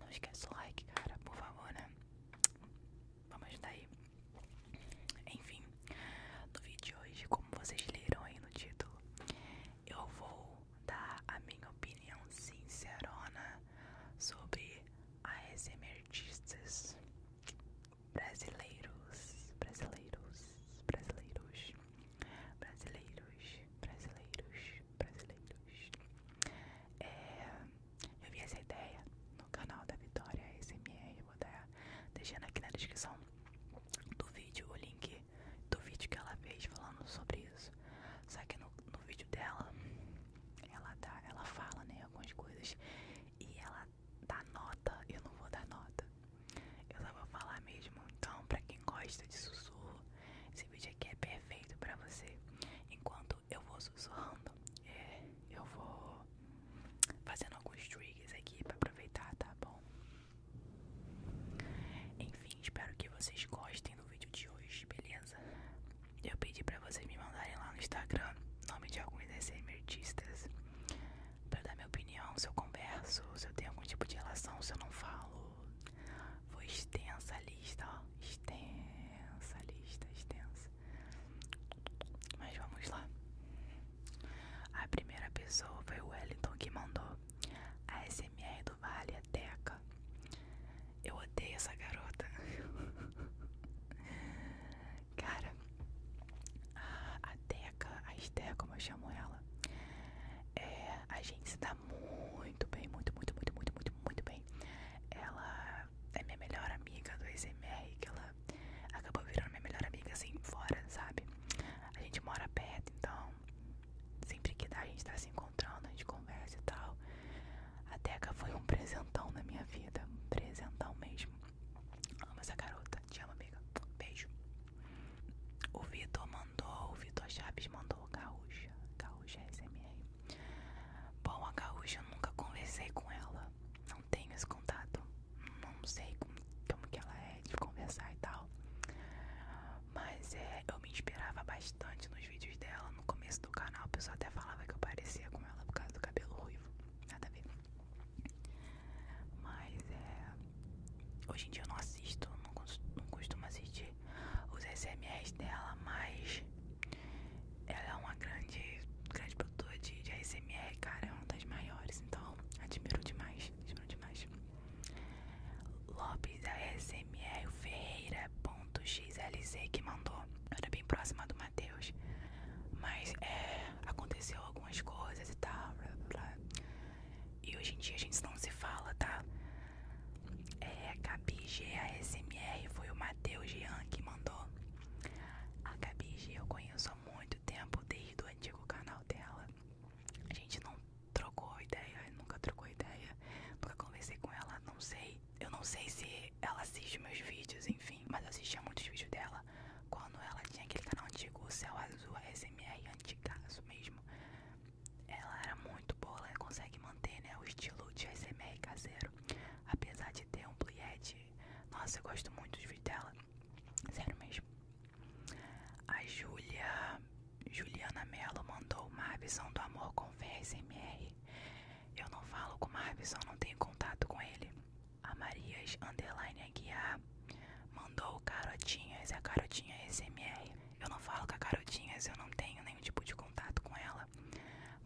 Não esquece o like, cara, por favor, né? Vamos ajudar aí. Enfim, no vídeo de hoje, como vocês leram aí no título, eu vou dar a minha opinião sincerona sobre ASMR artistas brasileiros, brasileiros, brasileiros, brasileiros, brasileiros, brasileiros. É, eu vi essa ideia no canal da Vitória SMR, vou dar tá deixando aqui na descrição do vídeo o link do vídeo que ela fez falando sobre isso. Só que no, vídeo dela, ela dá, tá, ela fala, né, algumas coisas e ela dá nota. Eu não vou dar nota. Eu só vou falar mesmo, então, pra quem gosta de sussurro, esse vídeo aqui é perfeito pra você. Enquanto eu vou sussurrando, é, eu vou fazendo alguns triggers aqui pra aproveitar, tá bom? Enfim, espero que vocês gostem do vídeo de hoje, beleza? Eu pedi pra vocês me mandarem lá no Instagram o nome de alguns desses SMRtistas pra dar minha opinião, se eu converso, se eu tenho algum tipo de relação, se eu não falo foi extensa a lista, ó. Extensa lista, extensa. Mas vamos lá. A primeira pessoa foi o Wellington que mandou. A SMR do Vale a é Teca. Eu odeio essa garota. Cara, a Teca a Esther, como eu chamo ela, é, a gente se dá muito bem, muito, muito, muito, muito, muito, muito bem. Ela é minha melhor amiga do SMR, que ela acabou virando minha melhor amiga assim, fora, sabe? A gente mora perto, então sempre que dá a gente tá se encontrando, a gente conversa e tal. A Teca foi um presentão na minha vida, um presentão mesmo. Amo essa garota, te amo, amiga. Beijo. O Vitor mandou, o Vitor Chaves mandou Gaúcha, Gaúcha SMR. Bom, a Gaúcha eu nunca conversei com ela, não tenho esse contato, não sei como, que ela é de conversar e tal. Mas é, eu me inspirava bastante nos vídeos dela no começo do canal, o pessoal até falava que eu parecia com ela por causa do cabelo ruivo, nada a ver. Mas é. Hoje em dia eu não assisto, não, costumo assistir os SMRs dela, mas ela é uma grande, grande produtora de, ASMR, cara, é uma das maiores, então admiro demais, admiro demais. Lopes ASMR Ferreira.xlz que mandou. Eu era bem próxima do Matheus. Mas é, aconteceu algumas coisas e tal. Blá, blá. E hoje em dia a gente não se fala, tá? É, a SMR foi o Matheus Jean que mandou. A Gabi eu conheço há muito tempo, desde o antigo canal dela. A gente não trocou ideia, nunca trocou ideia, nunca conversei com ela, não sei. Eu não sei se ela assiste meus vídeos, enfim, mas eu assistia muitos vídeos dela. Quando ela tinha aquele canal antigo, o Céu Azul, smr SMR, isso mesmo. Ela era muito boa, ela consegue manter né, o estilo de SMR caseiro. Apesar de ter um playhead. Nossa, eu gosto muito dos vídeos dela. Sério mesmo. A Julia, Juliana Mello mandou uma visão do amor com smr Eu não falo com o Marbison, não tenho contato com ele a Marias Aguiar mandou Carotinhas, é a Carotinha SMR. Eu não falo com a Carotinhas, eu não tenho nenhum tipo de contato com ela,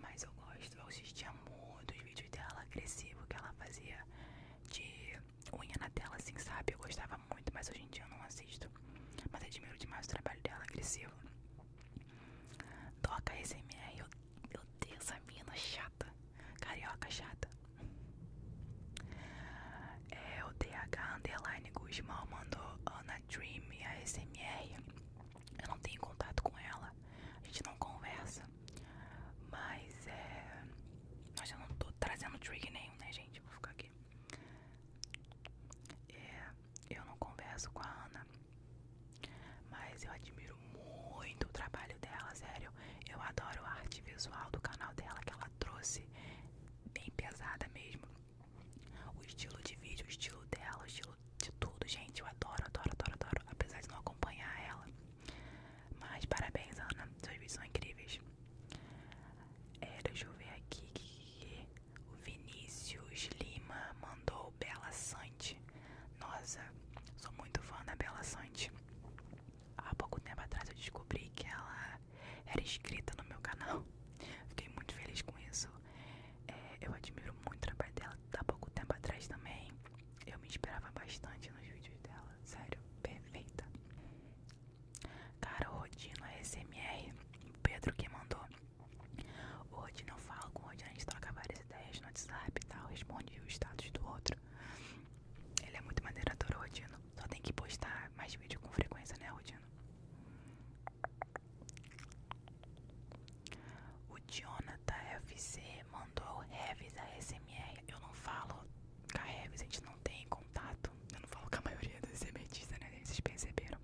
mas eu gosto, eu assistia muito os vídeos dela agressivo que ela fazia de unha na tela, assim, sabe? Eu gostava muito, mas hoje em dia eu não assisto. Mas admiro demais o trabalho dela, agressivo. Toca SMR, eu, eu tenho essa mina chata. Carioca chata. É, o TH Underline Guzmão mandou Ana Dream e a SMR. Eu não tenho contato com ela, a gente não conversa. Mas é. Nossa, eu não tô trazendo trigger nenhum, né, gente? Vou ficar aqui. É, eu não converso com a Ana, mas eu admiro muito o trabalho dela, sério. Eu adoro a arte visual do canal dela que ela trouxe, bem pesada mesmo. O estilo de vídeo, o estilo dela, o estilo de tudo, gente. Eu adoro, adoro, adoro, adoro. Apesar de não acompanhar ela. Mas parabéns, Ana. suas visões são incríveis. É, deixa eu ver aqui que o Vinícius Lima mandou Bela Sante. Nossa, sou muito fã da Bela Sante há pouco tempo atrás eu descobri que ela era inscrita no meu canal. Fiquei muito feliz com isso. É, eu admiro muito o trabalho dela. Há pouco tempo atrás também eu me esperava bastante nos vídeos dela. Sério, perfeita. Cara, o Rodino SMR, Pedro que mandou. O Rodino eu falo com o Rodino, a gente troca várias ideias no WhatsApp e tal, responde o status do outro. Ele é muito maneiro, adoro o Rodino. Só tem que postar mais vídeo com frequência, né, Rodino? O Jonathan FC mandou Revis a SMR. Eu não falo com a Revis, a gente não tem contato. Eu não falo com a maioria dos emetistas, né? Vocês perceberam.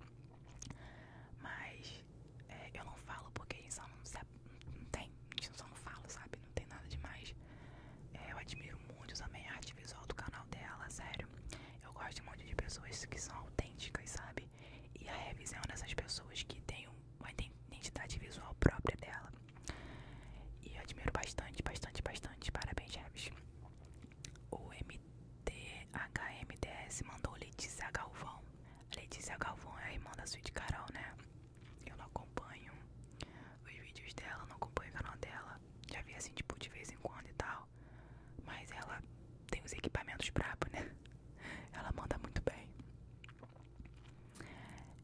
Mas é, eu não falo porque eles só não se não tem, a gente só não fala, sabe? Não tem nada demais. É, eu admiro muito também a arte visual do canal dela, sério. Eu gosto de um monte de pessoas que são autênticas, sabe? E a revisão dessas pessoas que tem uma identidade visual própria dela. E eu admiro bastante, bastante, bastante. Parabéns, Revis. O MDHMDS mandou Letícia Galvão. Letícia Galvão é a irmã da Suíte Carol, né? Eu não acompanho os vídeos dela, não acompanho o canal dela. Já vi assim, tipo, de vez em quando e tal. Mas ela tem os equipamentos brabo, né? Ela manda muito bem.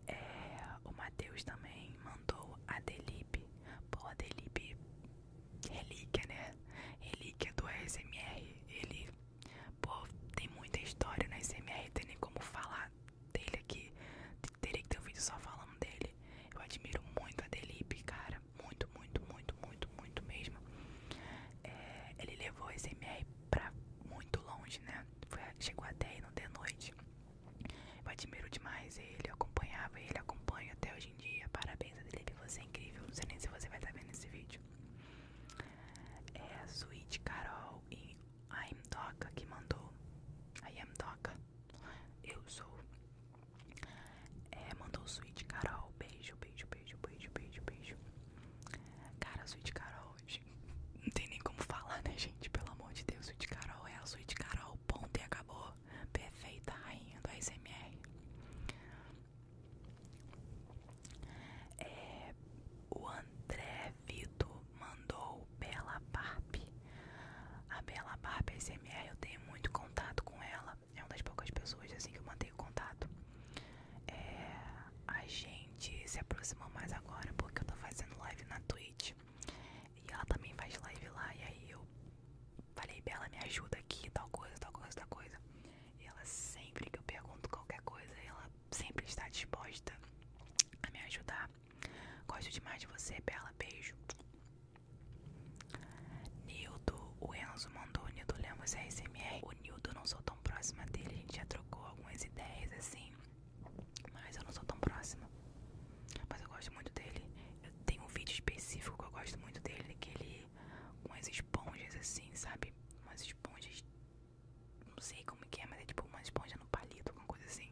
É, o Matheus também mandou a Delipe. Pô, a Delipe relíquia, né? Relíquia do ASMR. Ele Pô, tem muita história na SMR, tem nem como falar dele aqui. Teria que ter um vídeo só falando dele. Eu admiro muito a Delipe, cara. Muito, muito, muito, muito, muito mesmo. É, ele levou a SMR pra muito longe, né? Foi, chegou até aí no de noite. Eu admiro demais ele, eu acompanhava ele, acompanho até hoje em dia. Parabéns, a Adelipe, você é incrível. Não sei nem se você vai estar vendo esse vídeo. É, a Suíte Carol e foi a M Doca que mandou. A M Doca. Eu sou. É, mandou o Sweet Carol. Beijo, beijo, beijo, beijo, beijo, beijo. Cara, Sweet Carol. Não tem nem como falar, né, gente? Pelo amor de Deus, Sweet Carol é a Sweet Carol. Ponto e acabou. Perfeita rainha do ASMR. É, o André Vito mandou Bela Barb. A Bela Barb SMR eu tenho muito contato com ela. É uma das poucas pessoas assim que eu mantenho contato. É, a gente se aproxima mais agora porque eu tô fazendo live na Twitch. E ela também faz live lá. E aí eu falei, Bela, me ajuda aqui, tal coisa, tal coisa, tal coisa. E ela sempre que eu pergunto qualquer coisa, ela sempre está disposta a me ajudar. Gosto demais de você, Bela. Beijo. Nildo, o Enzo mandou. Nildo Lemos ASMR. O Nildo, não sou tão próxima dele. A gente já trocou algumas ideias assim. Mas eu não sou tão próxima. Mas eu gosto muito dele. Eu tenho um vídeo específico que eu gosto muito dele. Que ele. Com as esponjas assim, sabe? Com as esponjas não sei como é, mas é tipo uma esponja no palito, alguma coisa assim.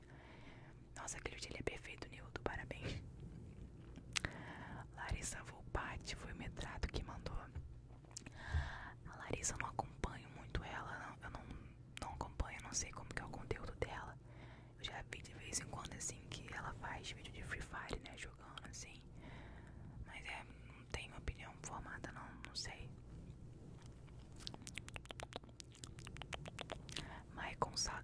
Nossa, aquele dia ele é perfeito, Nildo, parabéns. Larissa Volpati foi o metrado que mandou. A Larissa eu não acompanho muito ela, eu não, não acompanho, não sei como que é o conteúdo dela. Eu já vi de vez em quando assim que ela faz vídeo de Free Fire, né? Jogando assim. Mas é, não tenho opinião formada não, não sei. Maicon Sa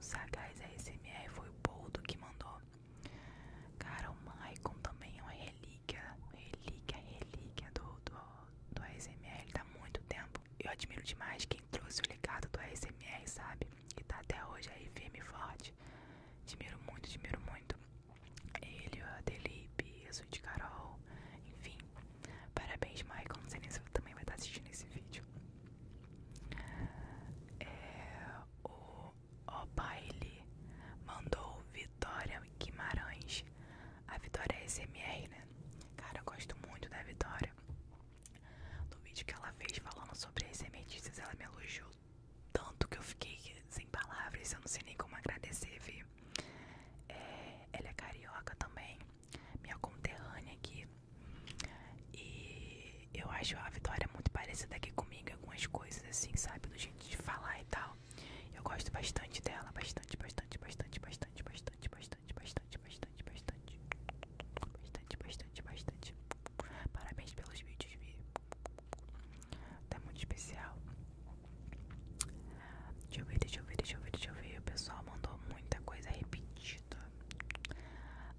Sagaz ASMR foi o Boldo que mandou. Cara, o Maicon também é uma relíquia, relíquia, relíquia do, do, do ASMR. Ele tá muito tempo. Eu admiro demais quem trouxe o legado do ASMR, sabe? E tá até hoje aí firme e forte. Admiro muito, admiro muito ele, a Delipe, a Sweet Carol, enfim. Parabéns, Michael. Não sei nem se você também vai estar assistindo esse vídeo. É, o O'Baile mandou Vitória Guimarães. A Vitória é SMR, né? Cara, eu gosto muito da Vitória. No vídeo que ela fez falando sobre as sementes, ela me elogiou tanto que eu fiquei sem palavras, eu não sei nem como agradecer, vi ela é carioca também, minha conterrânea aqui. E eu acho a Vitória muito parecida aqui comigo, algumas coisas assim, sabe? Do jeito de falar e tal. Eu gosto bastante dela, bastante, bastante, bastante, bastante, bastante, bastante, bastante, bastante, bastante, bastante, bastante, bastante. Parabéns pelos vídeos, Vi. Tá muito especial. Deixa eu ver, deixa eu ver, deixa eu ver, O pessoal mandou muita coisa repetida.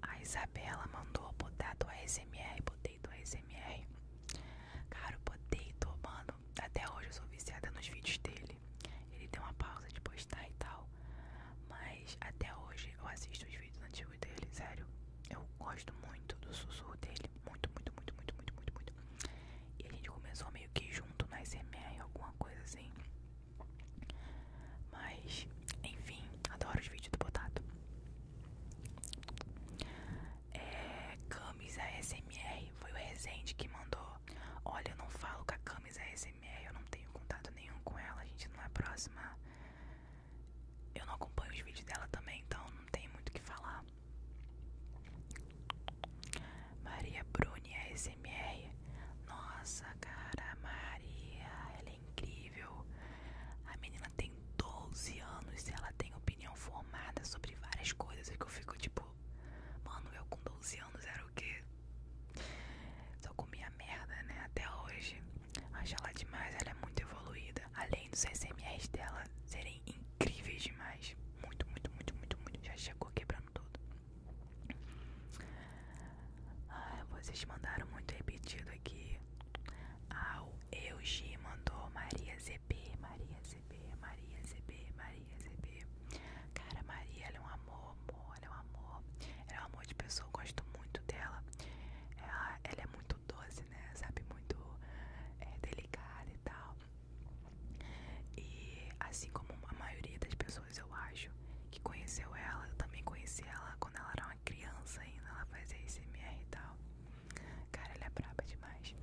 A Isabela mandou botar do ASMR, botei do ASMR. Cara, eu botei do, mano. Até hoje eu sou viciada nos vídeos dele. Ele deu uma pausa de postar e tal. Mas até hoje eu assisto os vídeos antes dele, sério. Eu gosto muito do sussurro dele. Muito, muito, muito, muito, muito, muito, muito. E a gente começou meio que junto na SMR, alguma coisa assim. Mas, enfim, adoro os vídeos do Potato. É, camisa SMR, foi o Rezende que mandou. Olha, eu não falo com a camisa SMR, eu não tenho contato nenhum com ela, a gente não é próxima. Eu não acompanho os vídeos dela também, então não tem muito o que falar. Maria Bruni ASMR. Nossa, cara, Maria, ela é incrível. A menina tem 12 anos e ela tem opinião formada sobre várias coisas. que eu fico tipo, mano, eu com 12 anos era o quê? Só comia merda, né? Até hoje. Acho lá demais, ela é muito evoluída. Além dos SMS dela serem incríveis demais. Muito, muito, muito, muito, muito. Já chegou quebrando tudo. Ah, vocês mandaram muito repetido aqui. Ah, o Eugi mandou Maria ZB, Maria ZB, Maria ZB, Maria ZB. Cara, Maria, ela é um amor, amor, ela é um amor. Ela é um amor de pessoa, eu gosto muito dela ela é muito doce, né? Sabe, muito é, delicada e tal. E assim como a maioria das pessoas, eu acho, que conheceu ela, eu também conheci ela quando ela era uma criança ainda, ela fazia ASMR e tal. Cara, ela é braba demais.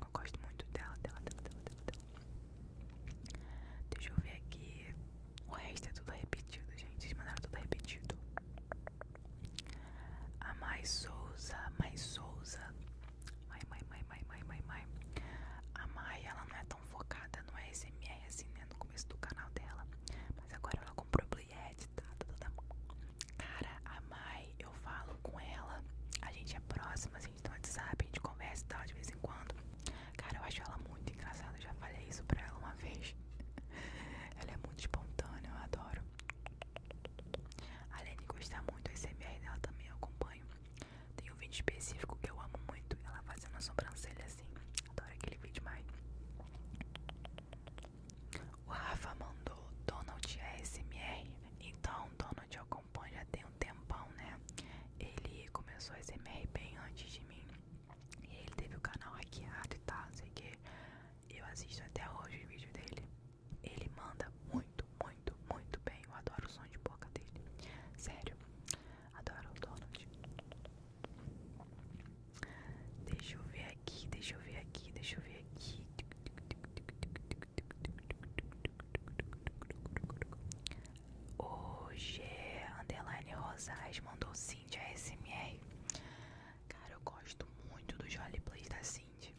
Eu gosto muito dela. Deixa eu ver aqui. O resto é tudo repetido, gente. Eles mandaram tudo repetido. A mais Souza, mais Souza. Mai, mãe mãe mãe mãe mãe mãe A Mai, ela não é tão focada no SMR assim, né? No começo do canal dela. Mas agora ela comprou Blue Yeti, tá, tá, tá, tá? Cara, a Mai, eu falo com ela. A gente é próximo a gente tá no WhatsApp, a gente conversa e tal de vez em quando. Cara, eu acho ela muito engraçada. já falei isso pra ela uma vez. Ela é muito espontânea, eu adoro. além de gostar muito do SMR dela também, eu acompanho. Tem um vídeo específico que eu amo muito. Ela fazendo a sobrancelha assim. Adoro aquele vídeo mais. O Rafa mandou Donald smr Então, Donald eu acompanho já tem um tempão, né? Ele começou a SMR bem antes de mim. E ele teve o canal hackeado e tal, sei que. Eu assisto até hoje o vídeo dele. Ele manda muito, muito, muito bem. Eu adoro o som de boca dele. Sério, adoro o Donald. Deixa eu ver aqui, deixa eu ver aqui, deixa eu ver aqui. O G é Underline mandou Cindy a ASMR. Cara, eu gosto muito dos roleplays da Cindy.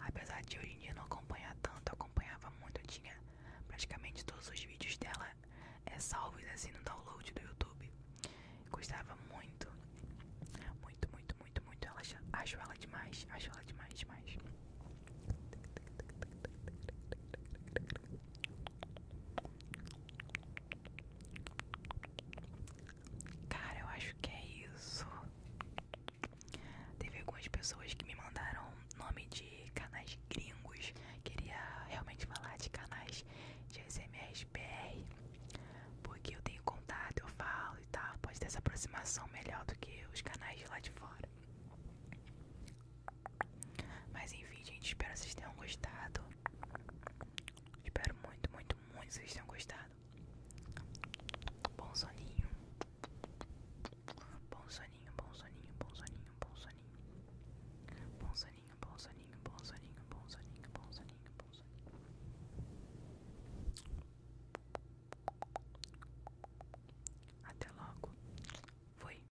Apesar de hoje em dia não acompanhar tanto, eu acompanhava muito. Eu tinha praticamente todos os vídeos dela é, salvos assim no download do YouTube. Gostava muito. Muito, muito, muito, muito. Ela, acho ela demais. Acho ela demais, demais. Cara, eu acho que é isso. Teve algumas pessoas que me mandaram nome de canais gringos. Queria realmente falar de canais de SMRBR. Porque eu tenho contato, eu falo e tal. Pode ter essa aproximação melhor do que os canais de lá de fora. Mas enfim, gente, espero vocês tenham gostado. Espero muito, muito, muito que vocês tenham gostado. Bom soninho. Bom soninho, bom soninho, bom soninho, bom soninho. Bom soninho, bom soninho, bom soninho, bom soninho, bom soninho, bom soninho. Até logo. Fui.